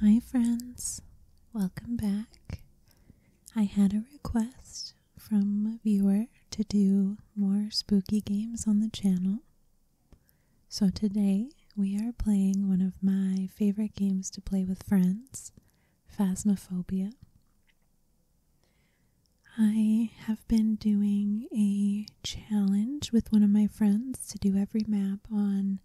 Hi, friends. Welcome back. I had a request from a viewer to do more spooky games on the channel. So today we are playing one of my favorite games to play with friends, Phasmophobia. I have been doing a challenge with one of my friends to do every map on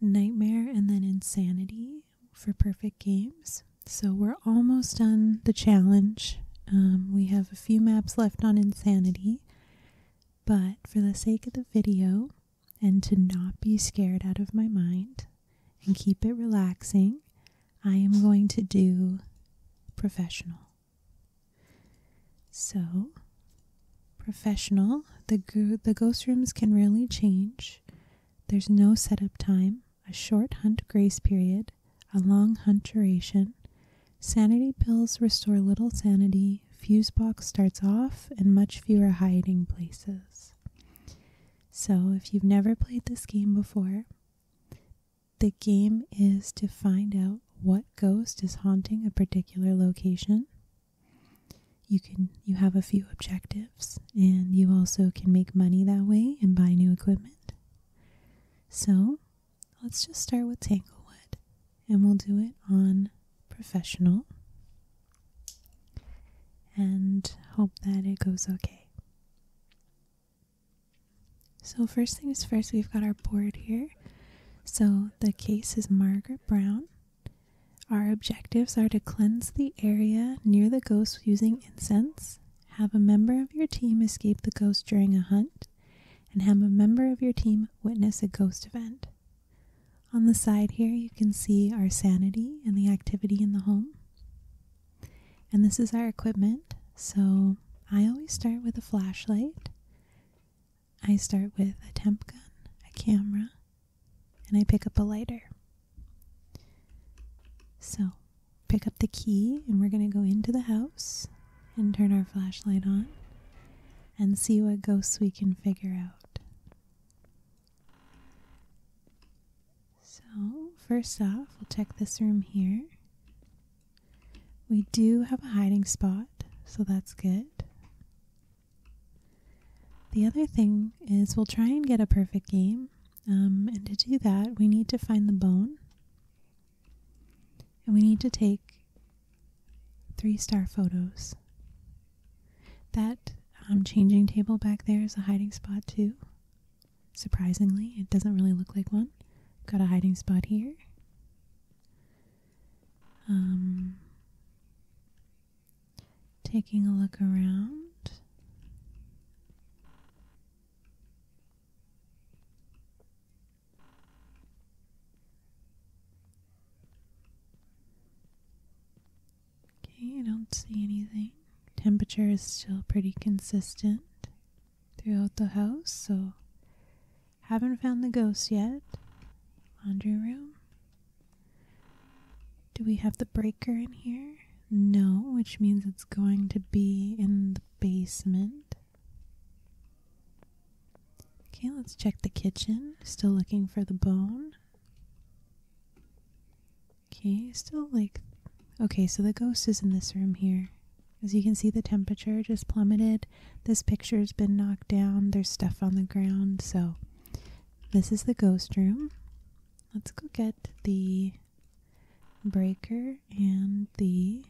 Nightmare and then Insanity for Perfect Games. So we're almost done the challenge. Um, we have a few maps left on Insanity, but for the sake of the video and to not be scared out of my mind and keep it relaxing, I am going to do professional. So, professional, the, go- the ghost rooms can really change. There's no setup time, a short hunt grace period, a long hunt duration. Sanity pills restore little sanity. Fuse box starts off, and much fewer hiding places. So, if you've never played this game before, the game is to find out what ghost is haunting a particular location. You can you have a few objectives and you also can make money that way and buy new equipment. So, let's just start with Tanglewood and we'll do it on professional and hope that it goes okay. So, first things first, we've got our board here. So, the case is Margaret Brown. Our objectives are to cleanse the area near the ghost using incense, have a member of your team escape the ghost during a hunt, and have a member of your team witness a ghost event. On the side here, you can see our sanity and the activity in the home. And this is our equipment. So I always start with a flashlight. I start with a temp gun, a camera, and I pick up a lighter. So, pick up the key, and we're going to go into the house and turn our flashlight on and see what ghosts we can figure out. So, first off, we'll check this room here. We do have a hiding spot, so that's good. The other thing is we'll try and get a perfect game. Um, and to do that, we need to find the bone. And we need to take three star photos. That um, changing table back there is a hiding spot, too. Surprisingly, it doesn't really look like one. Got a hiding spot here. Um, taking a look around. Okay, I don't see anything temperature is still pretty consistent throughout the house, so haven't found the ghost yet. Laundry room. Do we have the breaker in here? No, which means it's going to be in the basement. Okay, let's check the kitchen. Still looking for the bone. Okay, still like. Okay, so the ghost is in this room here. As you can see, the temperature just plummeted. This picture's been knocked down. There's stuff on the ground. So, this is the ghost room. Let's go get the breaker and the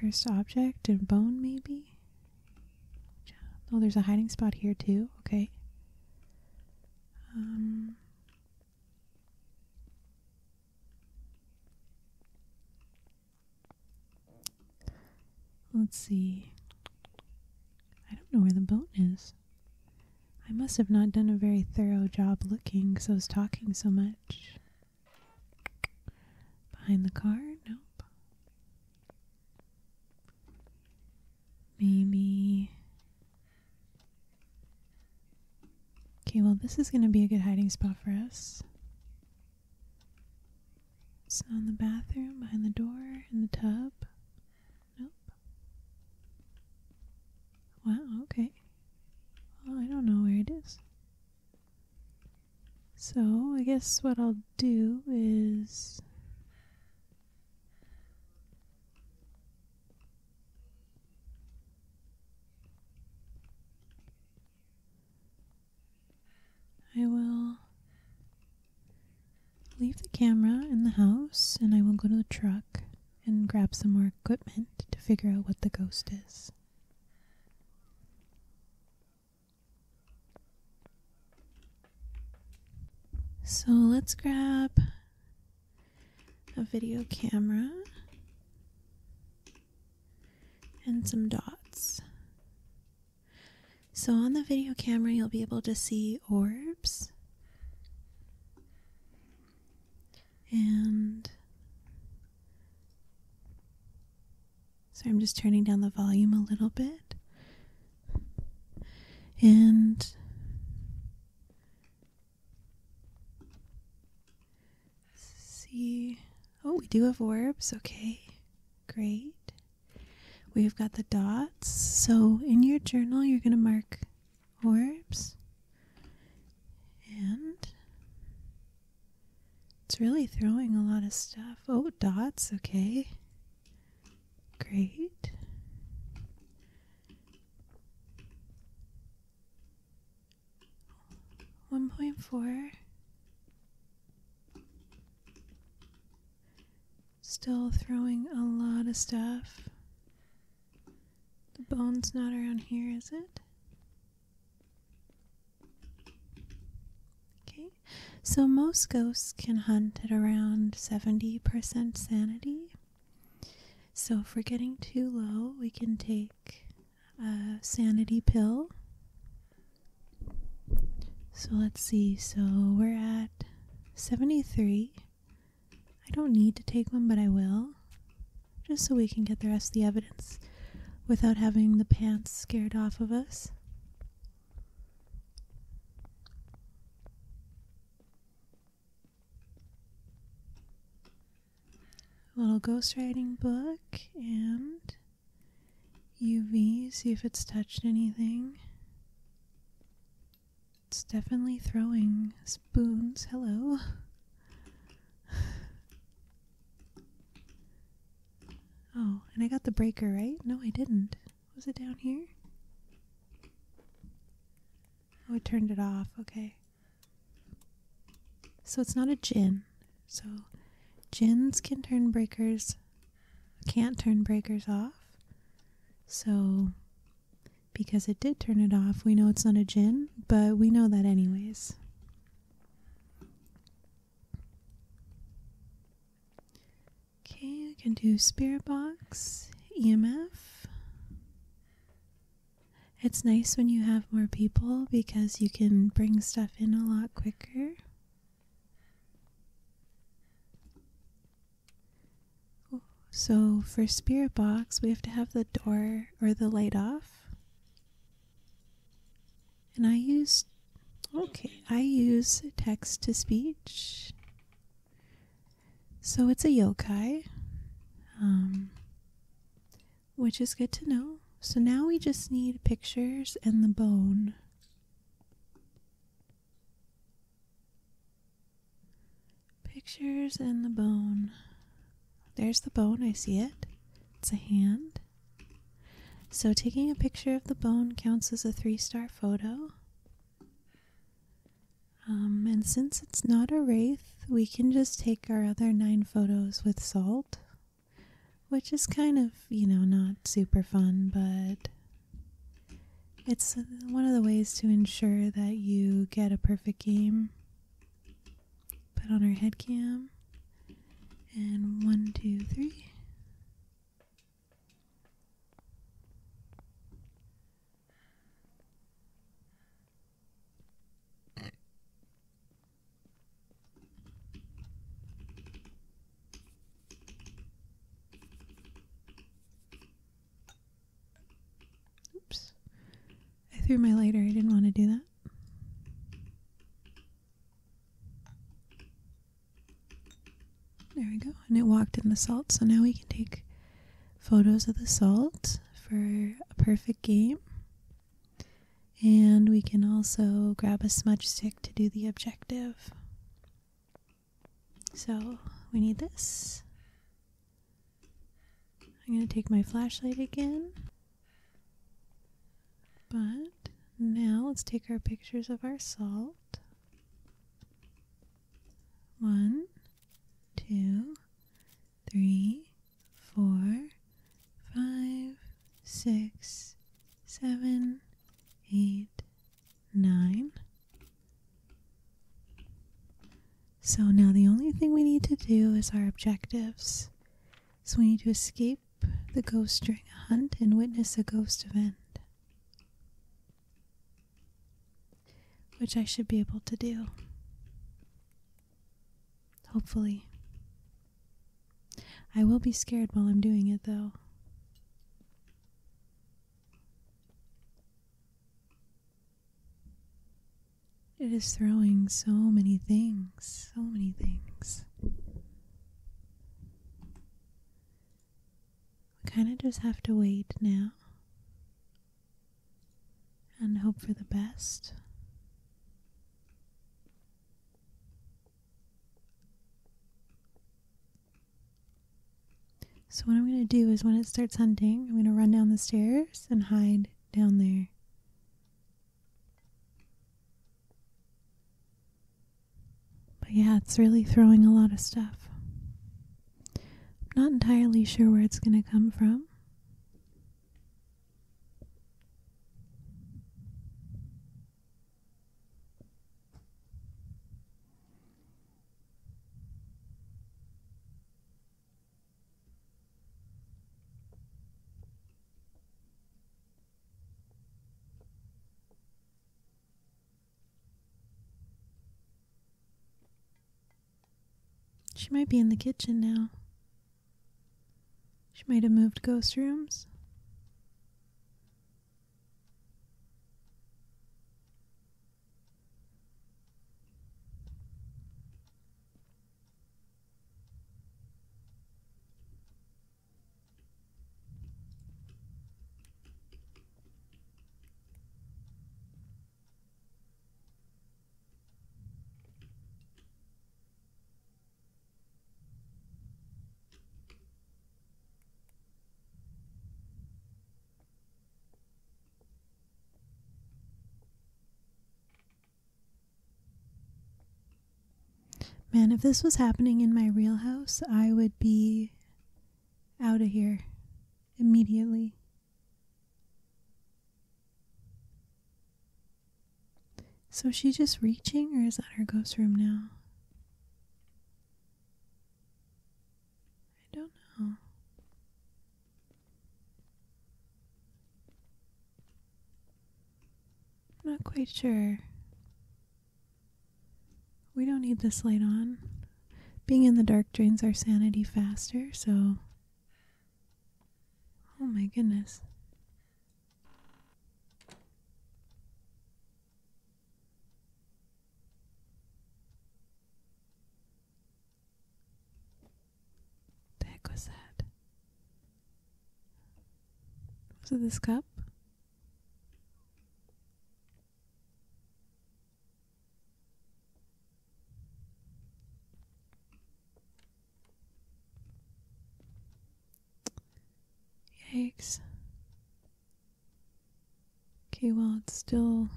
cursed object and bone, maybe. Oh, there's a hiding spot here, too. Okay. Um, Let's see. I don't know where the boat is. I must have not done a very thorough job looking because I was talking so much. Behind the car? Nope. Maybe. Okay, well, this is going to be a good hiding spot for us. It's not the bathroom, behind the door, in the tub. Nope. Wow, okay. Well, I don't know where it is. So, I guess what I'll do is. I will leave the camera in the house and I will go to the truck and grab some more equipment to figure out what the ghost is. So let's grab a video camera, and some dots. So on the video camera, you'll be able to see orbs and so I'm just turning down the volume a little bit and see. Oh, we do have orbs. Okay. Great. We've got the dots. So in your journal, you're going to mark orbs. And it's really throwing a lot of stuff. Oh, dots. Okay. Great. One point four. Still throwing a lot of stuff. The bone's not around here, is it? Okay, so most ghosts can hunt at around 70% sanity. So, if we're getting too low, we can take a sanity pill. So, let's see. So, we're at 73. I don't need to take one, but I will. Just so we can get the rest of the evidence without having the pants scared off of us little ghostwriting book and UV, see if it's touched anything. It's definitely throwing spoons. Hello. Oh, and I got the breaker, right? No, I didn't. Was it down here? Oh, it turned it off. Okay. So it's not a gin. So gins can turn breakers, can't turn breakers off. So because it did turn it off, we know it's not a gin, but we know that anyways. Okay, I can do spirit box, EMF. It's nice when you have more people because you can bring stuff in a lot quicker. So for spirit box, we have to have the door or the light off. And I use okay, I use text to speech. So it's a yokai, um, which is good to know. So now we just need pictures and the bone. Pictures and the bone. There's the bone, I see it. It's a hand. So taking a picture of the bone counts as a three star photo. Um, and since it's not a wraith, we can just take our other nine photos with salt, which is kind of, you know, not super fun, but it's one of the ways to ensure that you get a perfect game. Put on our head cam. And one, two, three. Oops. I threw my lighter. I didn't want to do that. There we go. And it walked in the salt, so now we can take photos of the salt for a perfect game. And we can also grab a smudge stick to do the objective. So we need this. I'm going to take my flashlight again. But now let's take our pictures of our salt. One, two, three, four, five, six, seven, eight, nine. So now the only thing we need to do is our objectives. So we need to escape the ghost during a hunt and witness a ghost event which I should be able to do. Hopefully. I will be scared while I'm doing it, though. It is throwing so many things, so many things. We kind of just have to wait now and hope for the best. So, what I'm going to do is when it starts hunting, I'm going to run down the stairs and hide down there. But yeah, it's really throwing a lot of stuff. I'm not entirely sure where it's going to come from. She might be in the kitchen now. She might have moved ghost rooms. Man, if this was happening in my real house, I would be out of here immediately. So she's just reaching, or is that her ghost room now? I don't know. not quite sure. We don't need this light on. Being in the dark drains our sanity faster, so. Oh my goodness. The heck was that? Was it this cup? Yikes. Okay, well, it's still.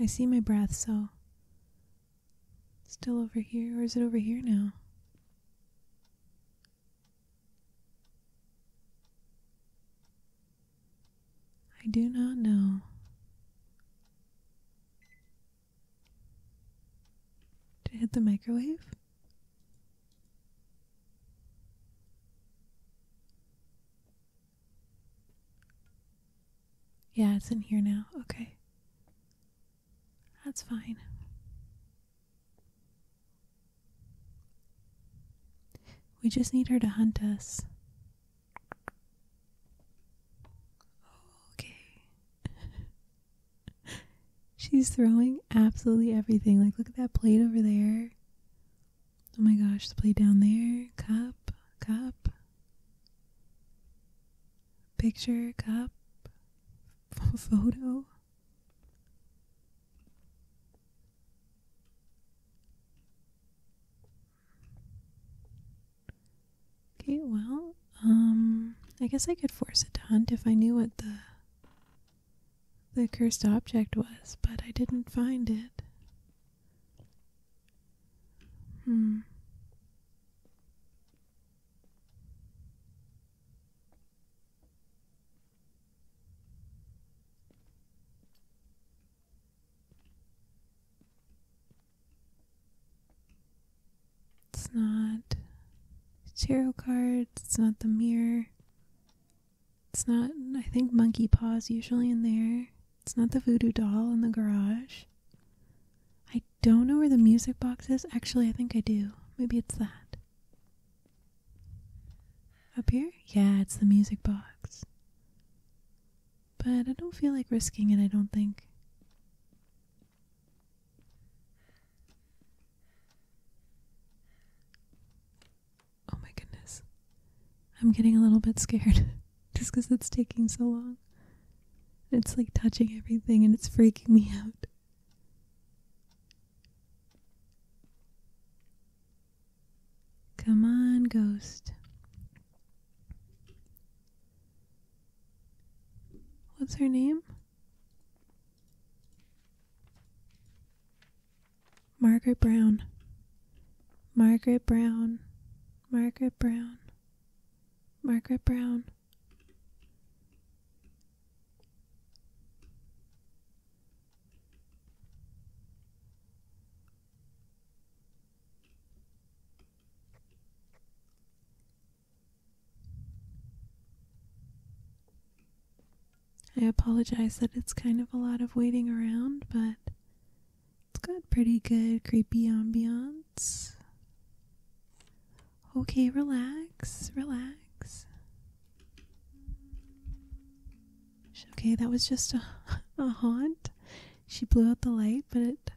I see my breath, so. Still over here, or is it over here now? I do not know. Did it hit the microwave? Yeah, it's in here now. Okay. That's fine. We just need her to hunt us. Okay. She's throwing absolutely everything. Like, look at that plate over there. Oh my gosh, the plate down there. Cup, cup. Picture, cup, photo. Okay, well, um, I guess I could force it to hunt if I knew what the the cursed object was, but I didn't find it. Hmm. It's not the tarot cards, it's not the mirror. It's not, I think, monkey paws usually in there. It's not the voodoo doll in the garage. I don't know where the music box is. Actually, I think I do. Maybe it's that. Up here? Yeah, it's the music box. But I don't feel like risking it, I don't think. Oh my goodness. I'm getting a little bit scared just because it's taking so long. It's like touching everything and it's freaking me out. Come on, ghost. What's her name? Margaret Brown. Margaret Brown. Margaret Brown. Margaret Brown. I apologize that it's kind of a lot of waiting around, but it's got pretty good creepy ambiance. Okay, relax, relax. Okay, that was just a, a haunt. She blew out the light, but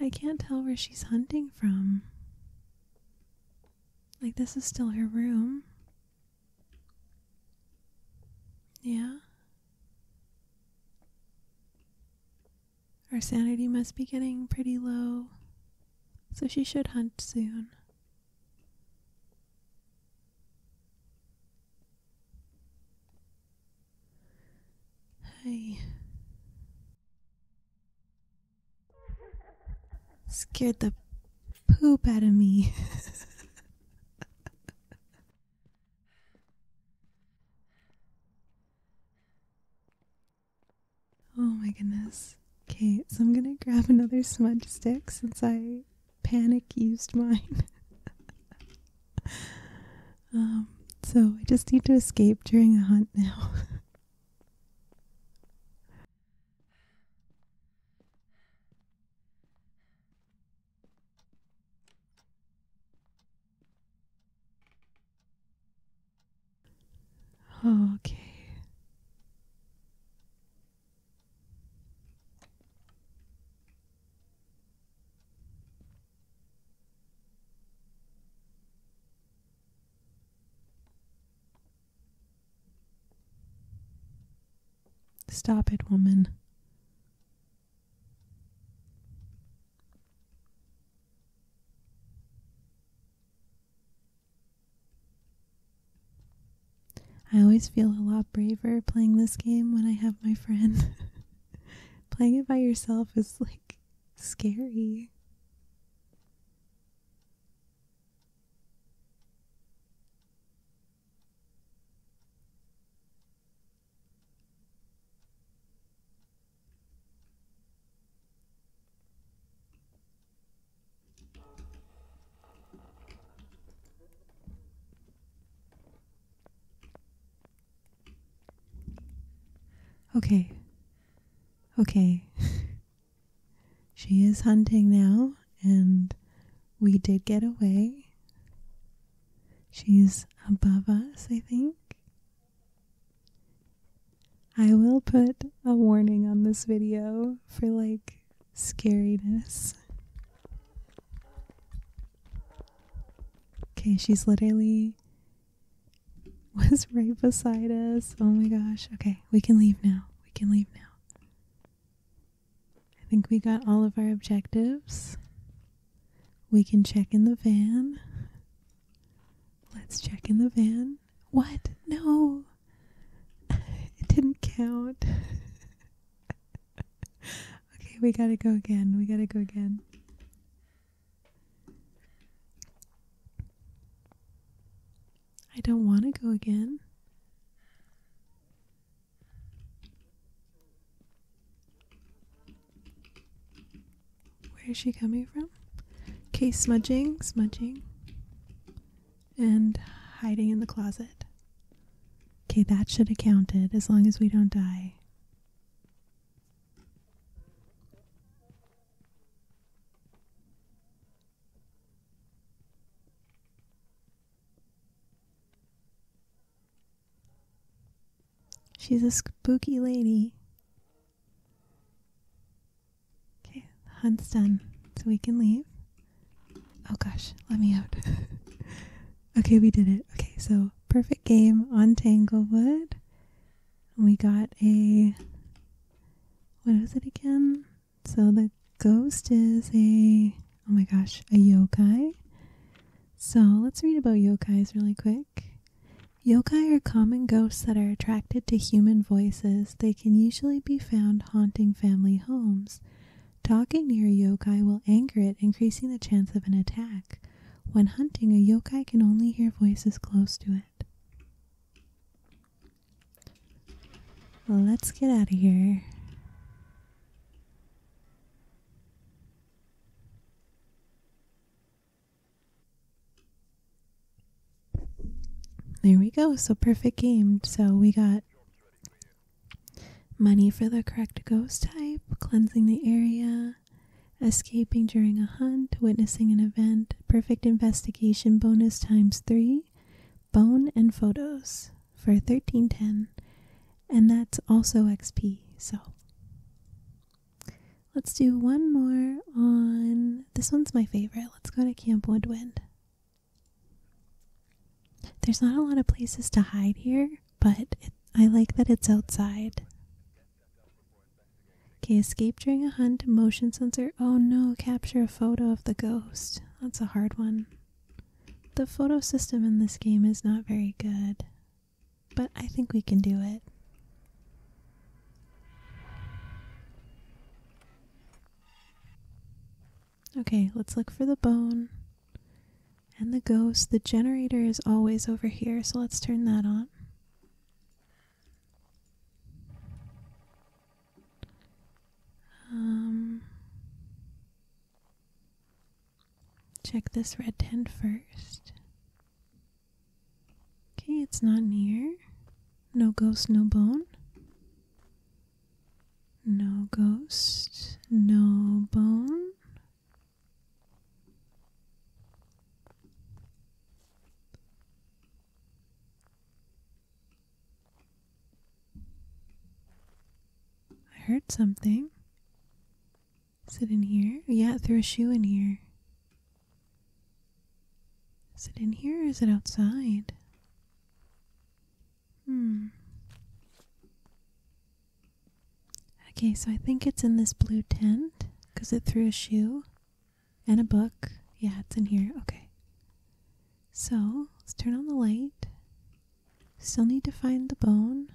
I can't tell where she's hunting from. Like, this is still her room. Yeah? Our sanity must be getting pretty low, so she should hunt soon. Hey. Scared the poop out of me. Oh my goodness. Okay, so I'm gonna grab another smudge stick since I panic used mine. um, so I just need to escape during the hunt now. Okay. Stop it, woman. I always feel a lot braver playing this game when I have my friend. playing it by yourself is like scary. Okay. Okay. she is hunting now, and we did get away. She's above us, I think. I will put a warning on this video for like scariness. Okay, she's literally was right beside us. Oh my gosh. Okay, we can leave now. We can leave now. I think we got all of our objectives. We can check in the van. Let's check in the van. What? No. It didn't count. okay, we gotta go again. We gotta go again. I don't want to go again. Where is she coming from? Case smudging, smudging and hiding in the closet. Okay, that should have counted as long as we don't die. She's a spooky lady. Okay, the hunt's done, so we can leave. Oh gosh, let me out. okay, we did it. Okay, so perfect game on Tanglewood. We got a. What was it again? So the ghost is a. Oh my gosh, a yokai. So let's read about yokais really quick. Yokai are common ghosts that are attracted to human voices they can usually be found haunting family homes. Talking near a yokai will anger it, increasing the chance of an attack. When hunting, a yokai can only hear voices close to it. Let's get out of here. There we go. So perfect game. So we got money for the correct ghost type, cleansing the area, escaping during a hunt, witnessing an event, perfect investigation bonus times 3, bone and photos for 1310. And that's also XP. So let's do one more on this one's my favorite. Let's go to Camp Woodwind. There's not a lot of places to hide here, but I like that it's outside. Okay, escape during a hunt, motion sensor. Oh no, capture a photo of the ghost. That's a hard one. The photo system in this game is not very good, but I think we can do it. Okay, let's look for the bone and the ghost. The generator is always over here, so let's turn that on. Um, check this red tent first. Okay, it's not near. No ghost, no bone. No ghost, no bone. I heard something. Is it in here? Yeah, it threw a shoe in here. Is it in here or is it outside? Hmm. Okay, so I think it's in this blue tent because it threw a shoe and a book. Yeah, it's in here. Okay. So let's turn on the light. Still need to find the bone.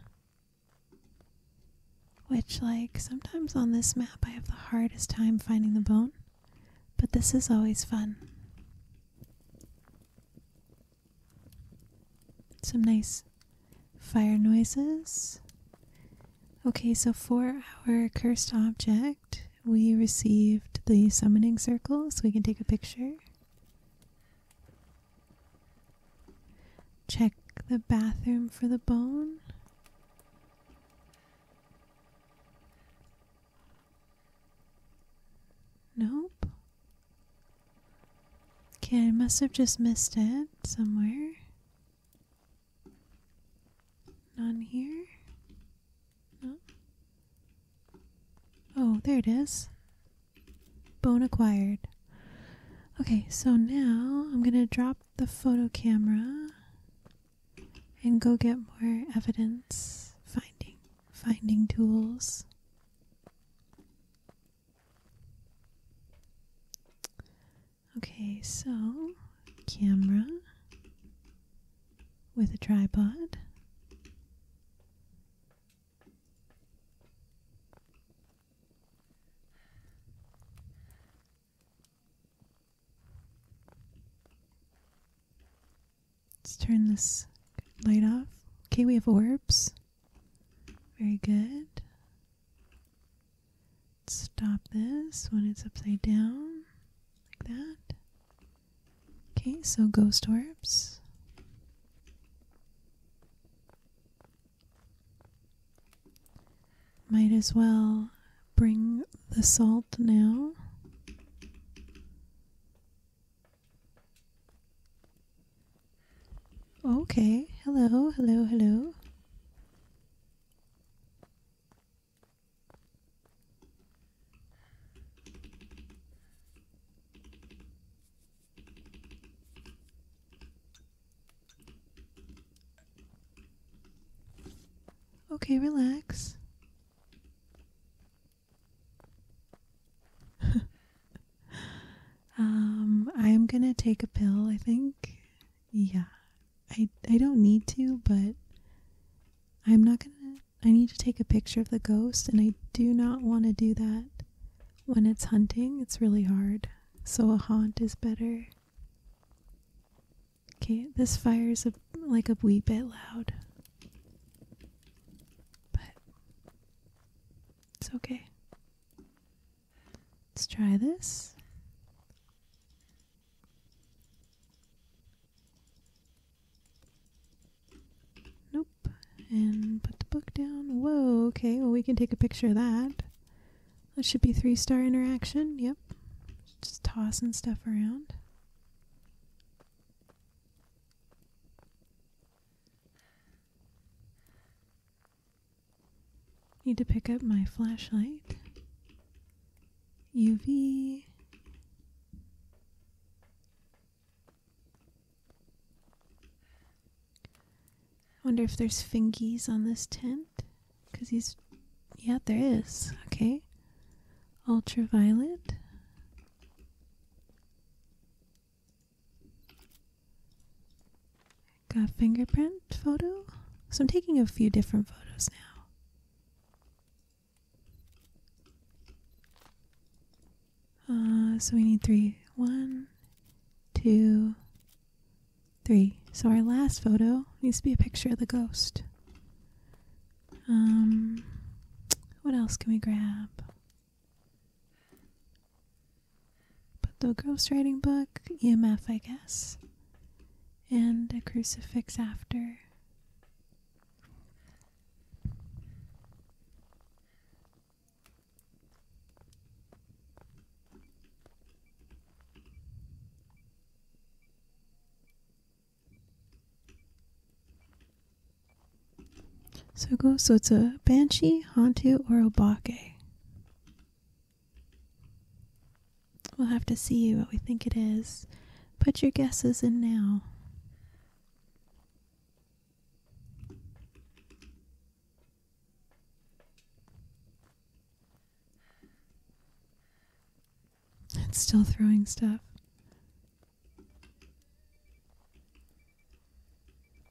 Which, like, sometimes on this map I have the hardest time finding the bone but this is always fun. Some nice fire noises. Okay, so for our cursed object, we received the summoning circle, so we can take a picture. Check the bathroom for the bone. Nope. Okay, I must have just missed it somewhere. None here? No. Oh, there it is. Bone acquired. Okay, so now I'm going to drop the photo camera and go get more evidence finding finding tools. Okay, so camera with a tripod. Let's turn this light off. Okay, we have orbs. Very good. Stop this when it's upside down, like that. Okay, so ghost orbs. Might as well bring the salt now. Okay, hello, hello, hello. Okay, relax. um, I'm gonna take a pill, I think. Yeah. I I don't need to, but I'm not gonna I need to take a picture of the ghost and I do not want to do that when it's hunting. It's really hard. So a haunt is better. Okay, this fire's a, like a wee bit loud. But it's okay. Let's try this. Nope. And put the book down. Whoa, okay, well, we can take a picture of that. That should be three star interaction. Yep. Just tossing stuff around. Need to pick up my flashlight. UV. I Wonder if there's fingies on this tent. Because he's. Yeah, there is. Okay. Ultraviolet. Got fingerprint photo. So I'm taking a few different photos now. Uh, so we need three. One, two, three. So our last photo needs to be a picture of the ghost. Um, what else can we grab? Put the ghost writing book, EMF, I guess, and a crucifix after. So go. So it's a banshee, hantu, or obake. We'll have to see what we think it is. Put your guesses in now. It's still throwing stuff.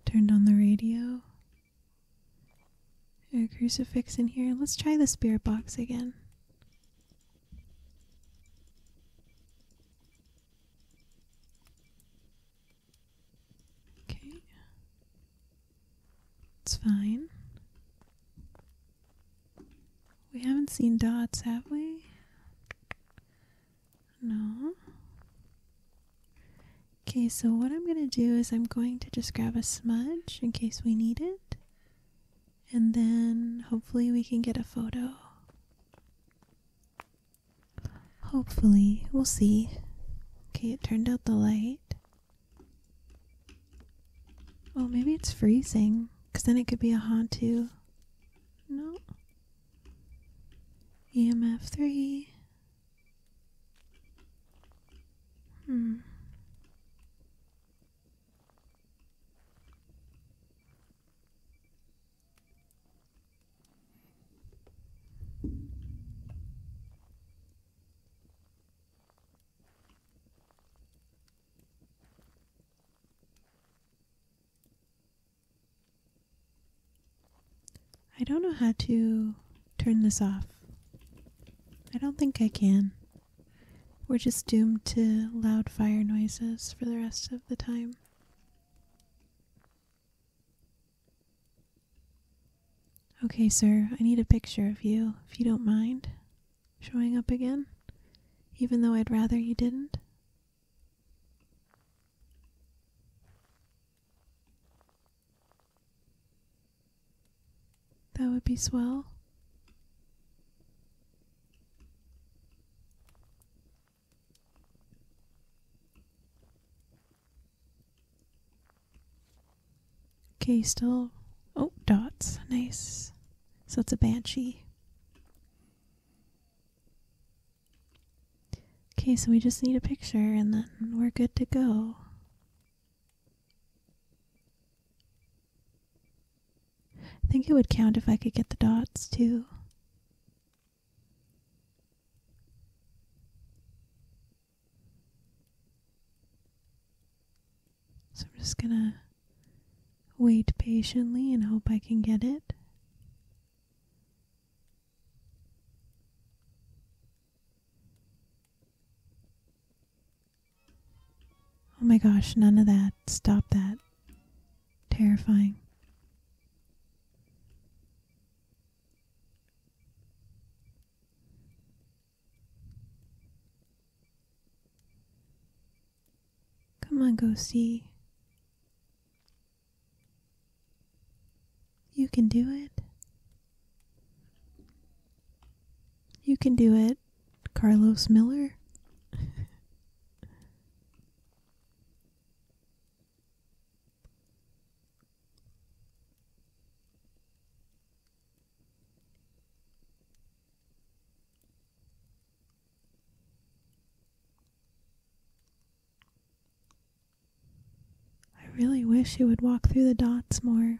Turned on the radio. a crucifix in here. Let's try the spirit box again. Okay. It's fine. We haven't seen dots, have we? No. Okay, so what I'm going to do is I'm going to just grab a smudge in case we need it. And then hopefully we can get a photo. Hopefully, we'll see. Okay, it turned out the light. Oh, maybe it's freezing. Because then it could be a Hauntu. No. EMF 3. Hmm. I don't know how to turn this off. I don't think I can. We're just doomed to loud fire noises for the rest of the time. Okay, sir, I need a picture of you, if you don't mind showing up again, even though I'd rather you didn't. That would be swell. Okay, still. Oh, dots. Nice. So it's a banshee. Okay, so we just need a picture and then we're good to go. I think it would count if I could get the dots too. So I'm just gonna wait patiently and hope I can get it. Oh my gosh, none of that. Stop that. Terrifying. Come on, go see. You can do it. You can do it, Carlos Miller. I really wish you would walk through the dots more.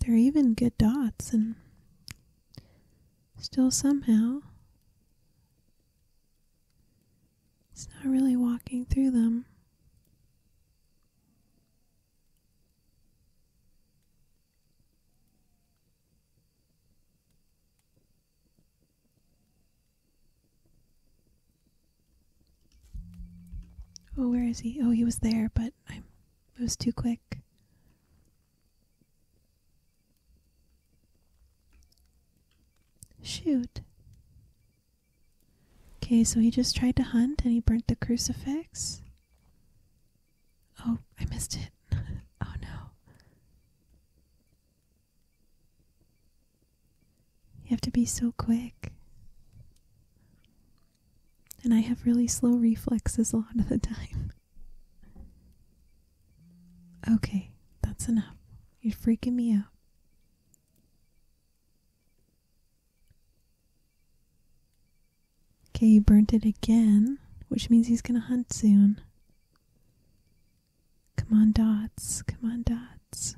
They're even good dots, and still somehow it's not really walking through them. Oh, where is he? Oh, he was there, but I it was too quick. Shoot. Okay, so he just tried to hunt and he burnt the crucifix. Oh, I missed it. oh no. You have to be so quick. And I have really slow reflexes a lot of the time. Okay, that's enough. You're freaking me out. Okay, you burnt it again, which means he's gonna hunt soon. Come on, dots. Come on, dots.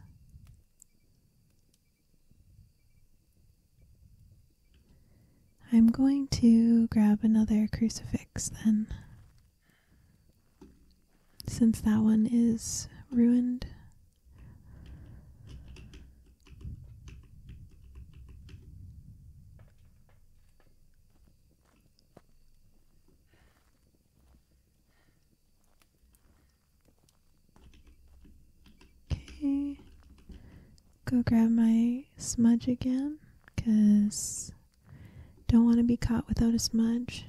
I'm going to grab another crucifix then since that one is ruined. Okay, go grab my smudge again because don't want to be caught without a smudge.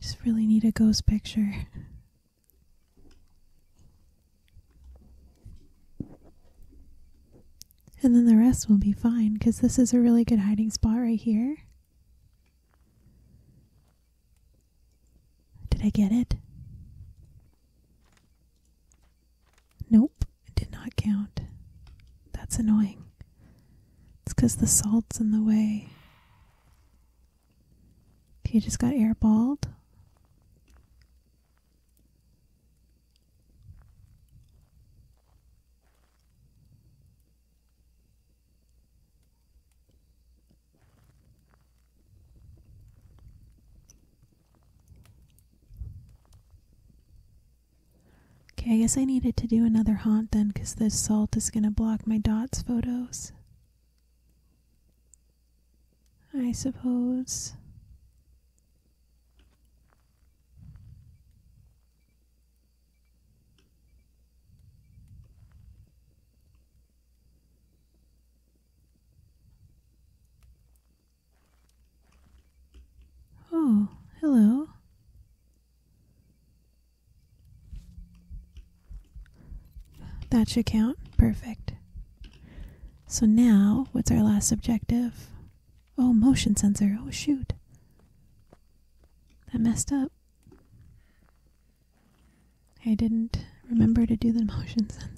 Just really need a ghost picture. And then the rest will be fine because this is a really good hiding spot right here. Did I get it? Nope, it did not count. That's annoying. It's because the salt's in the way. He just got airballed. Okay, I guess I needed to do another haunt then because this salt is going to block my dots photos. I suppose. Oh, hello. That should count. Perfect. So now, what's our last objective? Oh, motion sensor. Oh, shoot. That messed up. I didn't remember to do the motion sensor.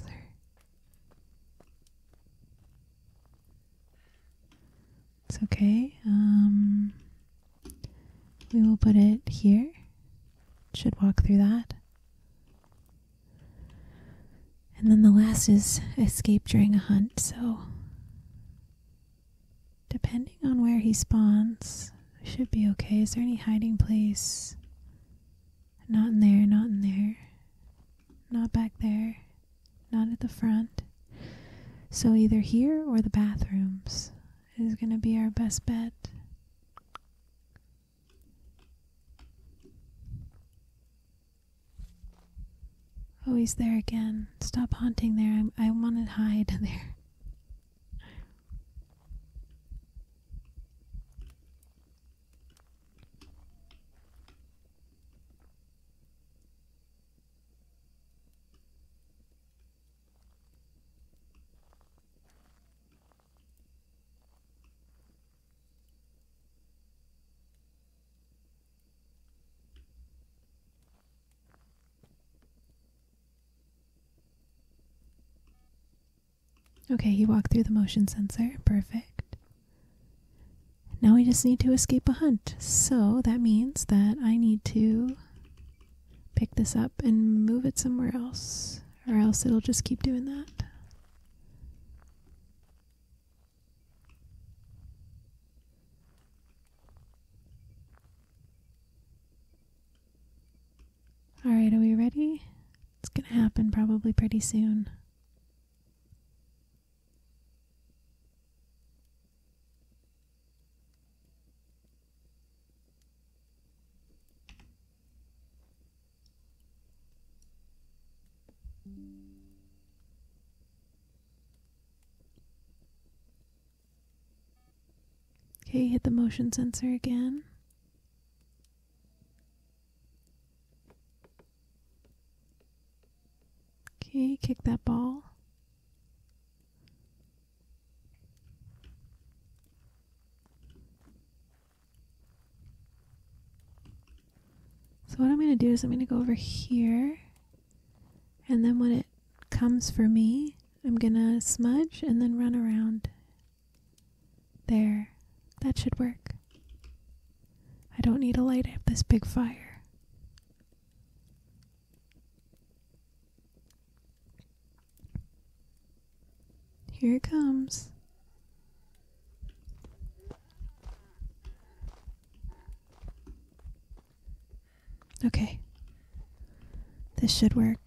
It's okay. Um, we will put it here. Should walk through that. And then the last is escape during a hunt, so depending on where he spawns, should be okay. Is there any hiding place? Not in there, not in there. Not back there. Not at the front. So either here or the bathrooms is going to be our best bet. Oh, he's there again. Stop haunting there. i I want to hide there. Okay, he walked through the motion sensor. Perfect. Now we just need to escape a hunt. So that means that I need to pick this up and move it somewhere else or else it'll just keep doing that. Alright, are we ready? It's gonna happen probably pretty soon. Okay, hit the motion sensor again. Okay, kick that ball. So what I'm going to do is I'm going to go over here and then when it comes for me, I'm going to smudge and then run around there. That should work. I don't need a light. up this big fire. Here it comes. Okay. This should work.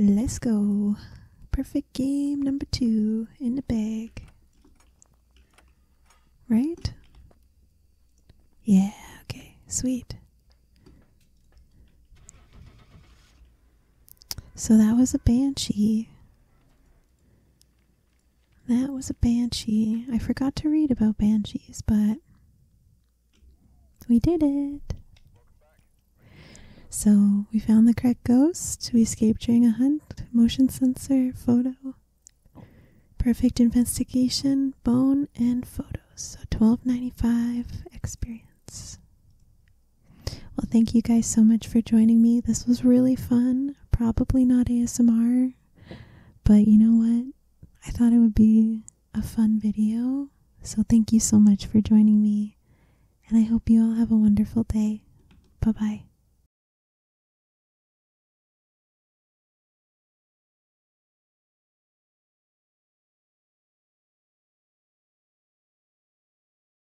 Let's go. Perfect game number two in the bag. Right? Yeah, okay, sweet. So that was a banshee. That was a banshee. I forgot to read about banshees, but we did it. So we found the correct ghost. We escaped during a hunt. Motion sensor, photo. Perfect investigation, bone, and photos. So twelve ninety five experience. Well, thank you guys so much for joining me. This was really fun. Probably not ASMR, but you know what? I thought it would be a fun video. So thank you so much for joining me. And I hope you all have a wonderful day. Bye bye.